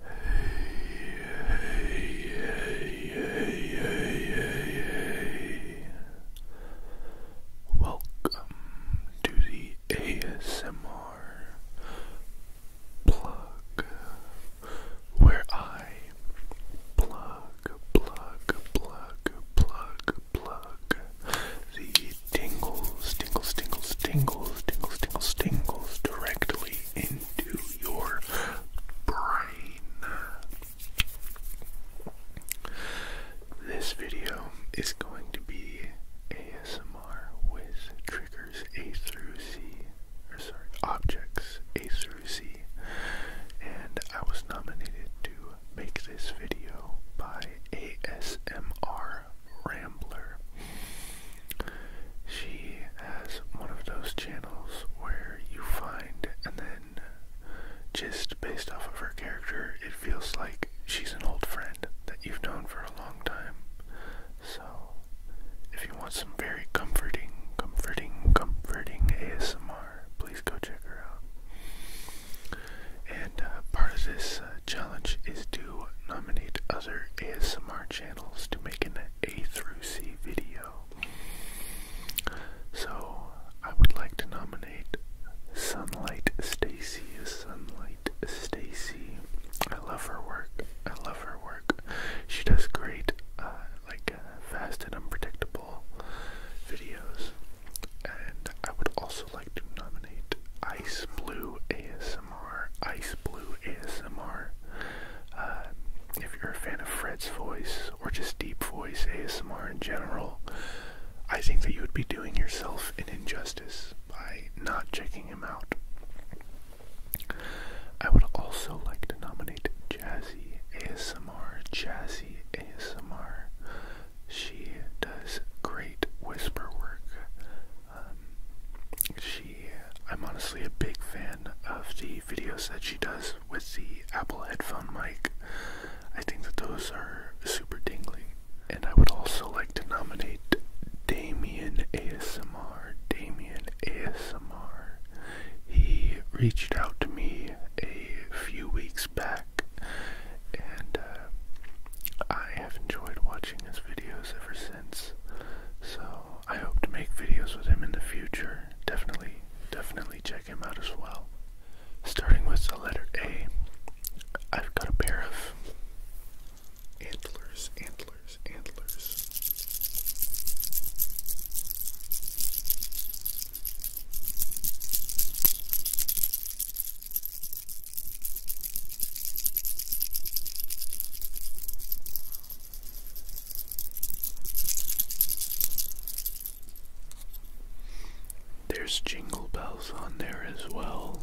Hey, hey, hey, hey, hey, hey. Welcome to the ASMR plug where I plug, plug, plug, plug, plug the tingles, tingles, tingles, tingles, tingles, tingles, directly in into your brain. This video is going to be ASMR with triggers A through C, or sorry, objects A through C. And I was nominated to make this video by ASMR Rambler. She has one of those channels where you find and then just based off of her character, it feels like she's an old friend that you've known for a long time. So, if you want some very comforting, comforting, comforting ASMR, please go check her out. And uh, part of this uh, challenge is to nominate other ASMR channels to make an A through C video. So I would like to nominate Sunlight Stacy Sunlight Stacy. I love her work. I love her work. She does great, uh, like uh, fast and unpredictable videos. And I would also like to nominate Ice Blue as. Ice Blue ASMR. Uh, if you're a fan of Fred's voice or just deep voice ASMR in general, I think that you would be doing yourself an injustice by not checking him out. I would also like to nominate Jazzy ASMR. Jazzy ASMR. She does great whisper work. Um, she, I'm honestly a big fan of the videos that she does with the Apple headphone mic. I think that those are super dingly. And I would also like to nominate Damien ASMR. Damien ASMR. He reached out to me a few weeks back, and uh, I have enjoyed watching his videos ever since. So I hope to make videos with him in the future. Definitely, definitely check him out as well. Starting with the letter A, I've got a pair of antlers, antlers, antlers. There's jingle bells on there as well.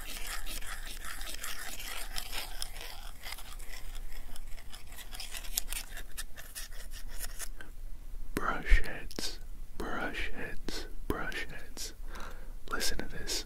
Brush heads, brush heads, brush heads. Listen to this.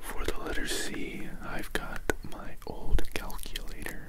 For the letter C, I've got my old calculator.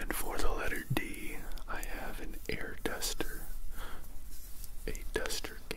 And for the letter D, I have an air duster, a duster can.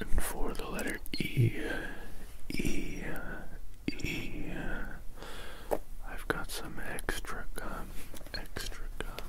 And for the letter E, E, E, I've got some extra gum, extra gum.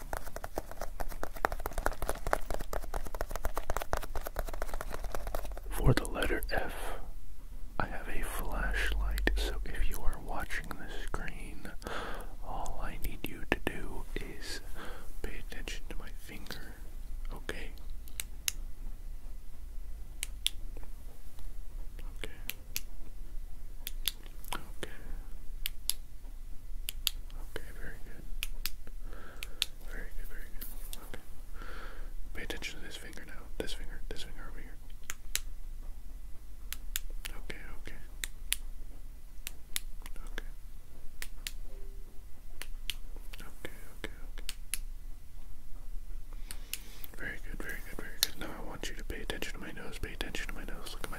For the letter F, I have a flashlight, so if you are watching the screen, all I need you to do is pay attention to my finger, okay? Okay. Okay. Okay, very good. Very good, very good. Okay. Pay attention to this finger now. This finger, this finger over here. Okay, okay. Okay. Okay, okay, okay. Very good, very good, very good. Now I want you to pay attention to my nose. Pay attention to my nose. Look at my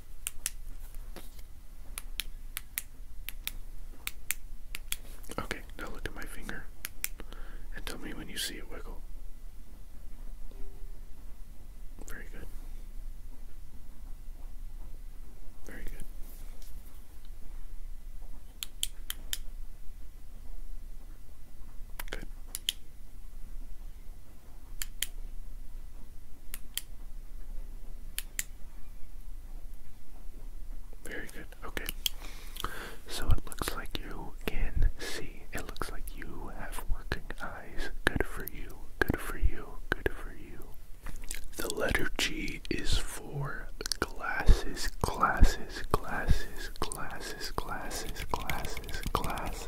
Okay, now look at my finger and tell me when you see it wiggle. Very good. Very good. Good. Very good. Okay. So it looks like you can see. It looks like you have working eyes. Good for you. Good for you. Good for you. The letter G is for glasses, glasses, glasses, glasses, glasses, glasses, glasses.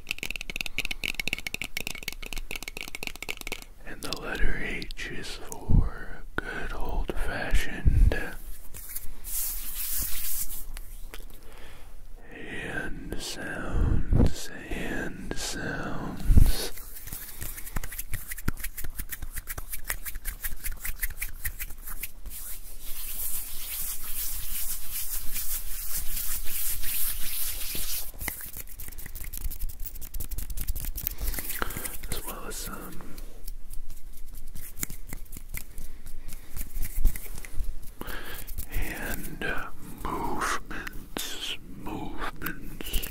And the letter H is for good old fashioned. Hand sounds, hand sounds as well as some um, movements, movements.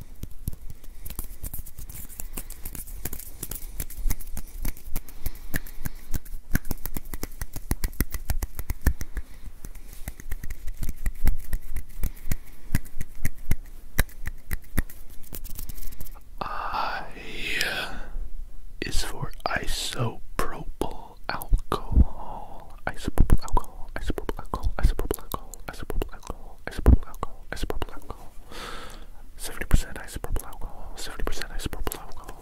I uh, is for isopropyl alcohol. Isopropyl alcohol. Isopropyl alcohol. Isopropyl alcohol. Isopropyl alcohol. Isopropyl alcohol. Isopropyl alcohol. 70% isopropyl alcohol, 70% isopropyl alcohol.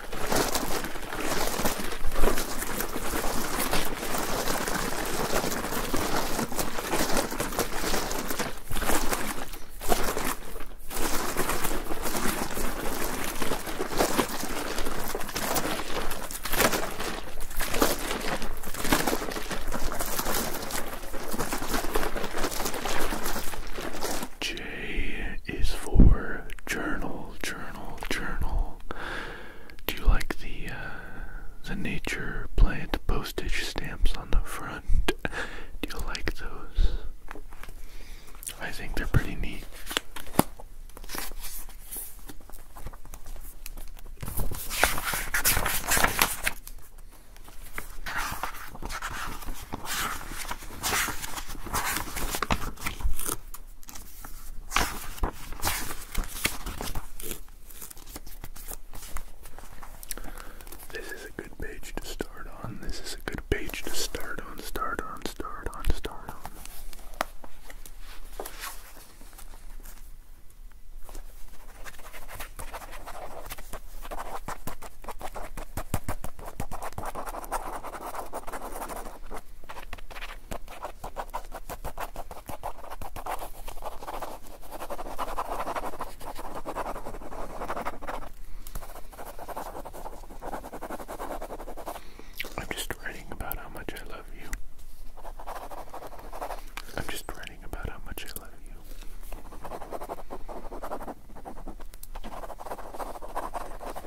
J is for journal, journal journal, Do you like the uh, the nature plant postage stamps on the front? Do you like those? I think they're pretty neat. This is a good page to start on. This is a good page to start on, start on, start on, start on. I'm just writing about how much I love you. I'm just writing about how much I love you.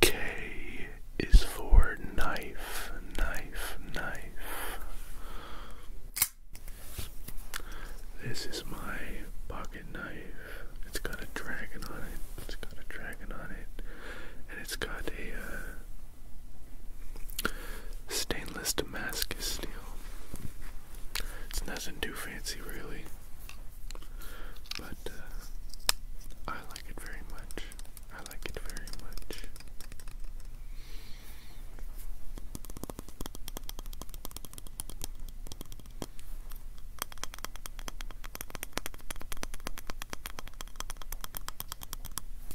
K is for knife, knife, knife. This is my pocket knife. It's got a dragon on it. It's got a dragon on it. And it's got a uh, Stainless Damascus steel. It's nothing too fancy, really, but uh, I like it very much. I like it very much.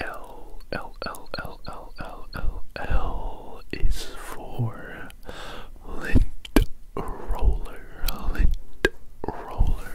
L L L L L L L L is for lint roller, lint roller.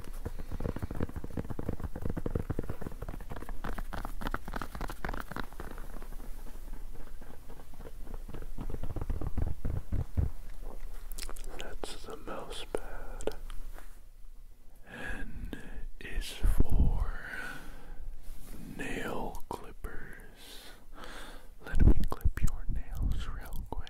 That's the mouse pad. N is for nail clippers. Let me clip your nails real quick.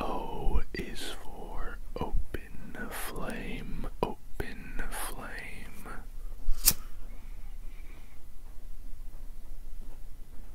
O is for open flame, open flame.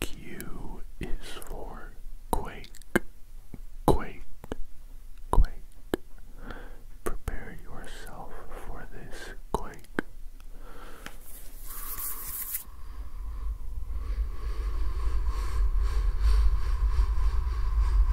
Q is for quake, quake, quake. Prepare yourself for this quake.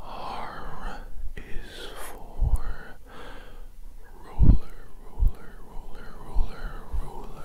R is for ruler, ruler, ruler, ruler, ruler.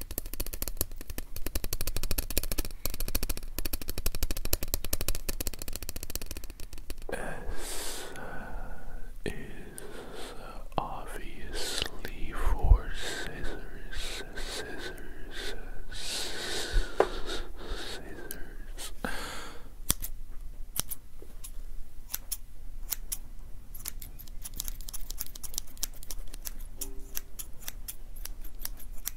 S is obviously for scissors, scissors, scissors.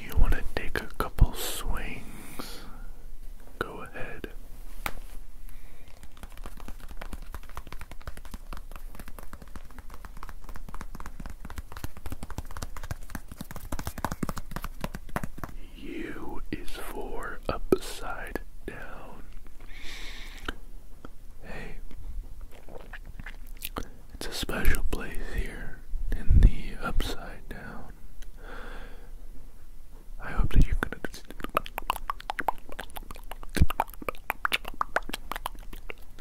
You want to take a couple swings? Go ahead. U is for upside down. Hey, it's a special place here in the upside down. I hope that you're gonna.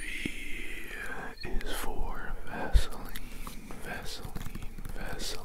V is for Vaseline, Vaseline, Vaseline.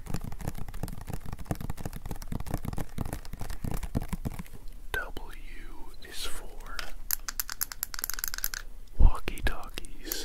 W is for walkie talkies.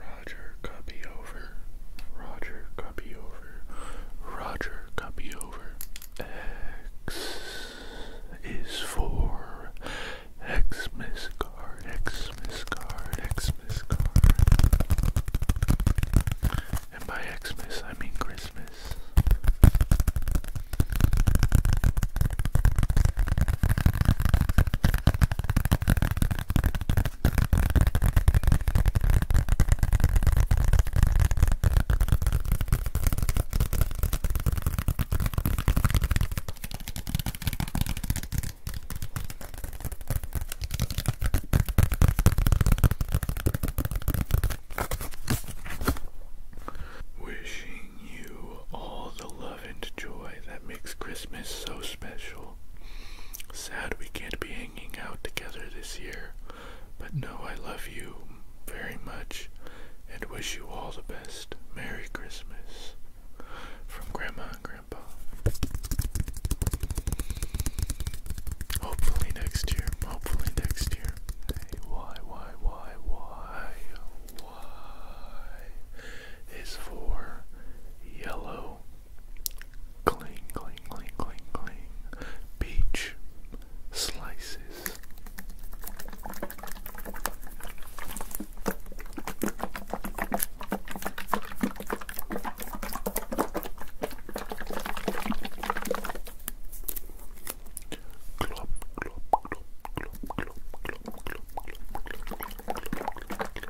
Roger copy over. Roger copy over. Roger copy over. X is for Xmas card. Xmas card. Xmas card. And by Xmas I mean Christmas. Wishing you all the and joy that makes Christmas so special. Sad we can't be hanging out together this year, but no, I love you very much and wish you all the best. Merry Christmas. From Grandma and Grandpa. Hopefully next year. Hopefully next year. why, why, why, why, why? is for yellow, cling, cling, cling, cling, cling, peach slices. Clop, clop, clop, clop, clop, clop, clop, clop, clop, clop,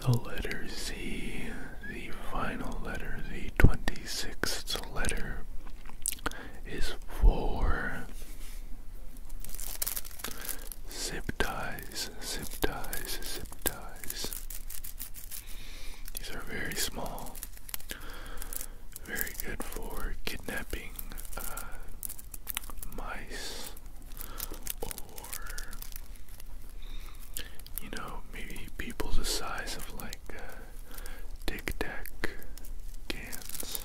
The letter Z, the final letter, the 26th letter, is for zip ties, zip ties, zip ties. These are very small. Very good for kidnapping uh, mice or, you know, maybe people the size of like uh, Tic Tac cans.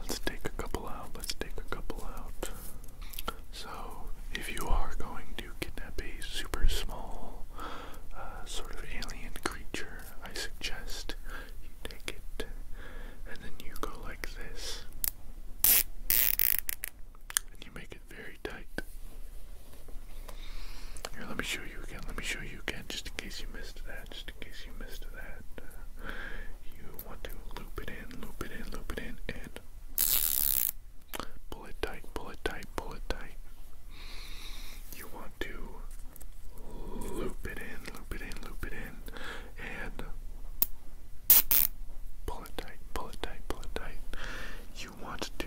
Let's take a couple out. Let's take a couple out. So, if you are going to kidnap a super small uh, sort of alien creature, I suggest you take it and then you go like this. And you make it very tight. Here, let me show you again. Let me show you again, just in case you missed that. Just in case you missed that. Uh, you want to loop it in, loop it in, loop it in, and pull it tight, pull it tight, pull it tight. You want to loop it in, loop it in, loop it in, and pull it tight, pull it tight, pull it tight. You want to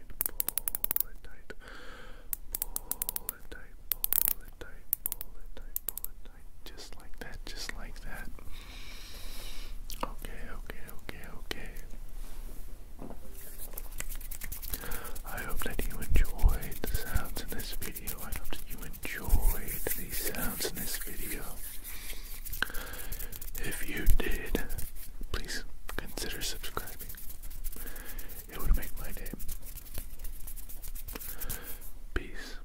pull it tight, pull it tight, pull it tight, pull it tight, pull it tight, just like that, just like that. Okay, okay, okay, okay. I hope that you enjoyed the sounds in this video. I hope that you enjoyed the sounds in this video. If you did, please consider subscribing. It would make my day. Peace.